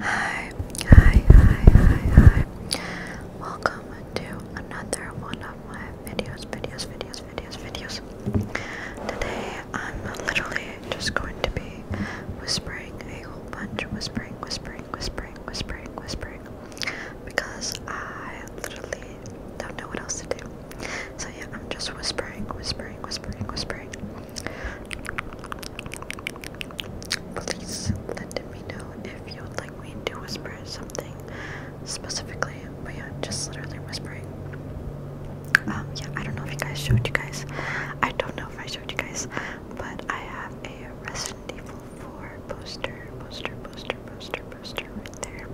Hi, hi, hi, hi, hi. Welcome to another one of my videos, videos, videos, videos, videos. Today I'm literally just going to be whispering a whole bunch, whispering, whispering, whispering, whispering, whispering, because I literally don't know what else to do. So yeah, I'm just whispering, whispering, whispering, whispering. Please let me know if you would like me to whisper something specifically, but yeah, just literally whispering. Um, yeah, I don't know if you guys showed you guys. I don't know if I showed you guys, but I have a Resident Evil 4 poster, poster, poster, poster, poster right there.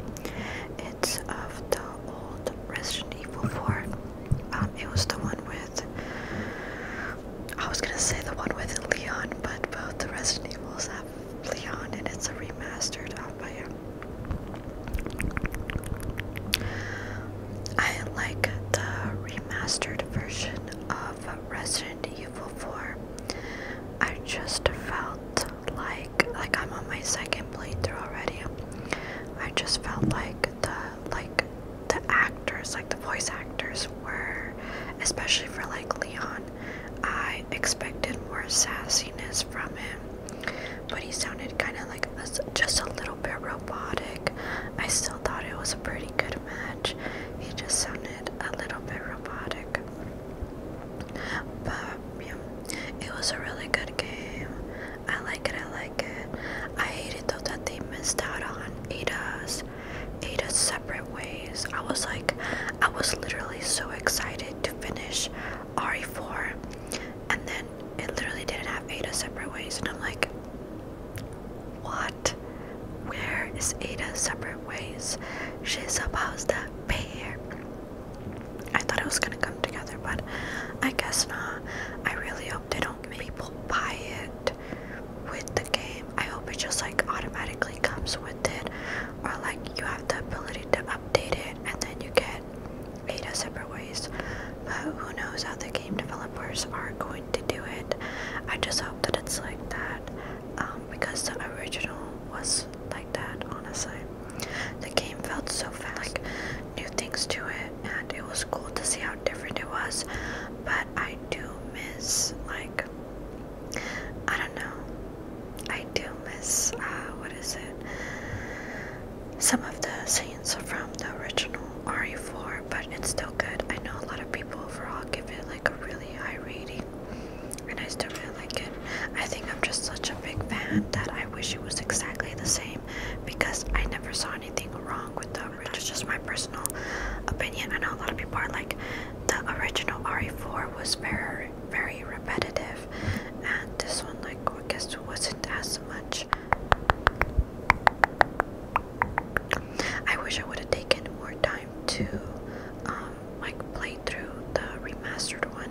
It's of the old Resident Evil 4. Um, it was the one with I was gonna say the one with Leon, but both the Resident Evils have Leon, and it's a remastered. Oh, but yeah. I like the remastered version of Resident Evil 4. I just felt like like I'm on my second playthrough already. I just felt like the like the actors, like the voice actors were, especially for like Leon, I expected more sassiness from him, but he sounded kind of like just a little bit robotic. I still thought it was a pretty good match. He just sounded a little bit robotic, but yeah, it was a really good game. I like it, I like it. I hate it though that they missed out on Ada's Ada's separate ways. I was like I was literally so excited to finish RE4 and then it literally didn't have Ada separate ways and I'm like what? Where is Ada separate ways? She's supposed to be here. I thought it was gonna come together, but I guess not. I really hope they don't make people buy it with the game. I hope it just like automatically comes with it, or like you have the ability to update it and then you get beta separate ways. But who knows how the game developers are going to do it? I just hope that it's like that um, because the original was like that, honestly. The game felt so fast, new things to it, and it was cool to see how different it was. But I do miss, like, I don't know, I do miss, uh, what is it? Some of the scenes from the original RE4, but it's still good. I know a lot of people overall give it like a really high rating and I still really like it. I think I'm just such a big fan that I wish it was exactly the same because I never saw anything wrong with the original. That's just my personal opinion. I know a lot of people are like, the original RE4 was very, very repetitive, and this one, like, I guess, wasn't as much. I wish I would have taken more time to um, like played through the remastered one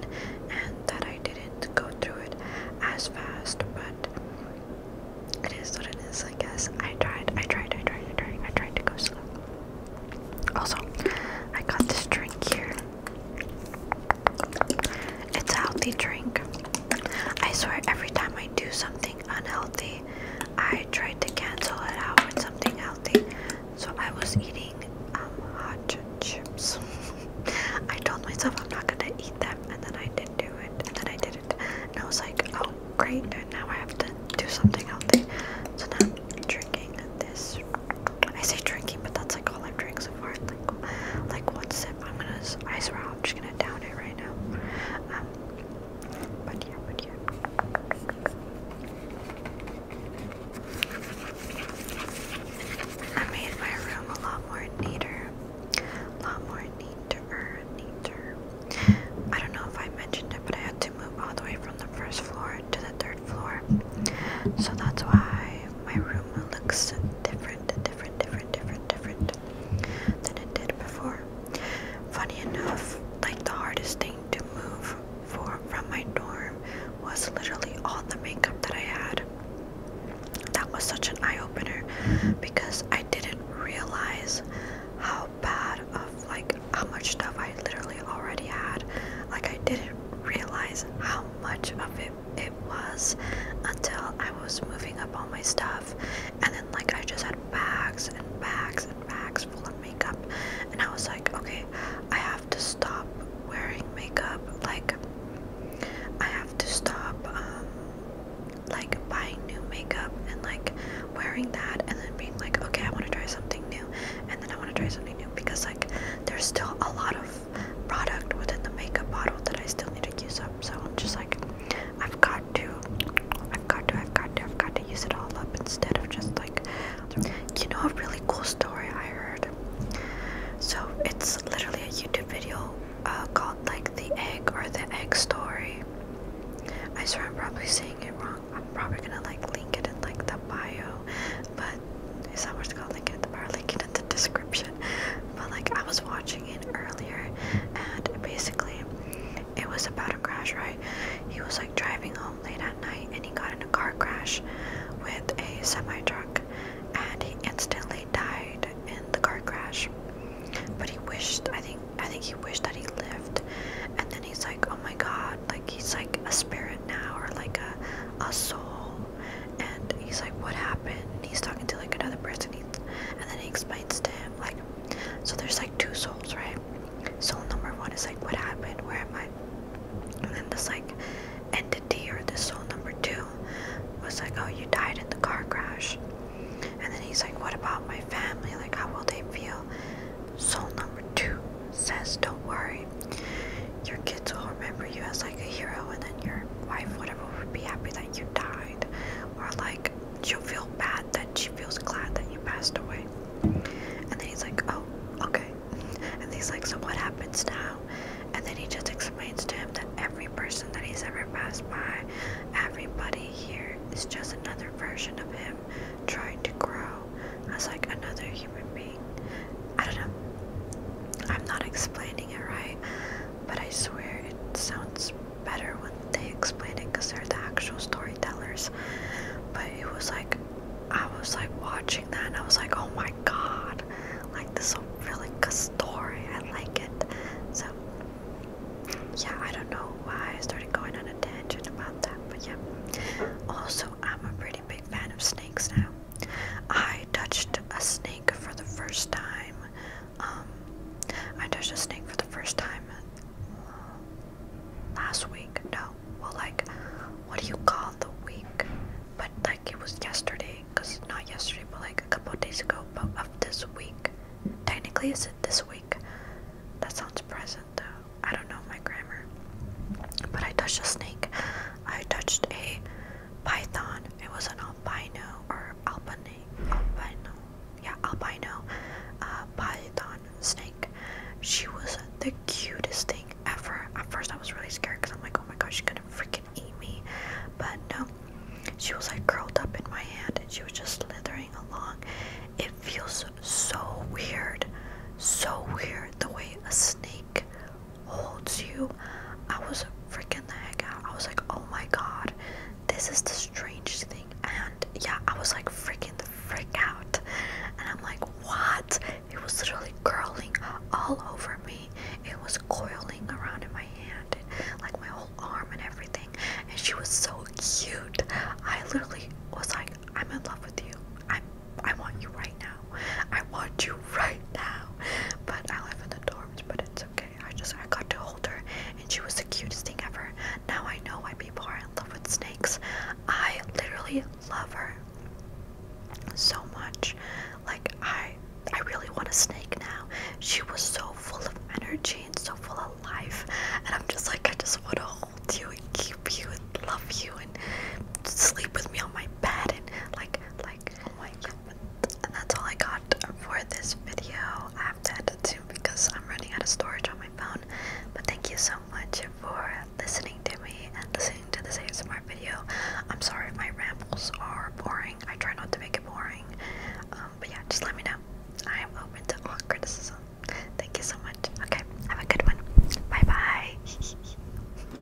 and that I didn't go through it as fast but it is what it is I guess I tried I tried I tried I tried I tried to go slow also I got this drink here it's a healthy drink I swear every time I do something unhealthy I try to cancel it out with something else. So I was eating um, hot chips. I told myself I'm not gonna eat them, and then I did not do it, and then I did not and I was like, oh great, now I have to do something healthy. So now i drinking this. I say drinking, but that's like all I've drank so far. Like, like one sip. I'm gonna. I swear, I'm just gonna down it right now. Um, but yeah, but yeah. I made my room a lot more neater. A lot more neater, neater. I don't know if I mentioned it, but I had to move all the way from the first floor to the third floor. So that's why my room looks different, different, different, different, different than it did before. Funny enough, like the hardest thing to move from my dorm was literally all the makeup that I had. That was such an eye opener because I didn't realize how bad of like how much stuff I literally already had. Like I didn't realize how much of it it was until I was moving up all my stuff and then like I just had bags and bags and bags full of makeup and I was like, okay, I have to stop wearing makeup. Like I have to stop um, like buying new makeup and like wearing that and then being like, okay, I want to try something new and then I want to try something new because like there's still a lot of product within the makeup bottle that I still need to use up. So I'm just like I've got to, I've got to, I've got to, I've got to use it all up instead of just like, you know, a really cool story I heard. So it's literally a YouTube video uh, called like the egg or the egg story. I swear I'm probably saying it wrong. I'm probably gonna like link it in like the bio, but it's not worth called link it in the bio, link it in the description. But like I was watching it earlier, and basically it was about a crash, right? He was like driving home late at night and he got in a car crash with a semi truck and he instantly died in the car crash. But he wished I think I think he wished that he lived and then he's like, Oh my god, like he's like a spirit now or like a a soul and he's like, What happened? And he's talking to like another person and then he explains to him like so there's like two souls, right? Soul number one is like, what happened? Where am I? And then this like entity or this soul number two was like, oh, you died in the car crash. And then he's like, what about my family? Like, how will they feel? Soul number two says, don't worry. Your kids will remember you as like a hero, and then your wife, whatever, would be happy that you died. Or like, she'll feel bad that that she feels glad that you passed away. And then he's like, oh, okay. And he's like, so what happens now? And then he just explains to him that every person that he's ever passed by, everybody here is just another version of him trying to grow as like another human being. I don't know. I'm not explaining it right, but I swear it sounds better when they explain it because they're the actual storytellers. But it was like, I was like watching that and I was like, oh my god, like this is a really good story. I like it. So, yeah, I don't know why I started going on a tangent about that, but yeah. Also, I'm a pretty big fan of snakes now. I touched a snake for the first time um, I touched a snake for the first time uh, last week. No, well, like, what do you call the week? But like, it was yesterday, cause not yesterday, but like a couple days ago, but of this week. Technically, is it this week? That sounds present though. I don't know my grammar. But I touched a snake. I touched a python. It was an albino or albany, albino, yeah, albino uh, python snake. She was the cutest thing ever. At first, I was really scared because I'm like, oh my gosh, she's gonna freaking eat me. But no, she was like curled up in my hand and she was just slithering along. It feels so weird, so weird the way a snake holds you. I was freaking the heck out. I was like, oh my god, this is the strangest thing. And yeah, I was like freaking the freak out. And I'm like, what? It was literally curling all over me. It was coiling around in my hand and like my whole arm and everything. And she was so cute. I literally was like, I'm in love with you. I'm I want you right now. I want you right now. But I live the dorm but it's okay. I just I got to hold her, and she was the cutest thing ever. Now I know why people are in love with snakes. I literally love her so much. Like I I really want a snake now. She was so full of energy and so full of life, and I'm just like I just want to hold you and keep you and love you and sleep with me on my bed and like oh my god. And that's all I got for this video. I have to end it because I'm running out of storage on my phone. But thank you so much for listening to me and listening to the this ASMR video. I'm sorry if my rambles are boring. I try not to make it boring. Um, but yeah, just let me know. I am open to all criticism. Thank you so much. Okay, have a good one. Bye bye.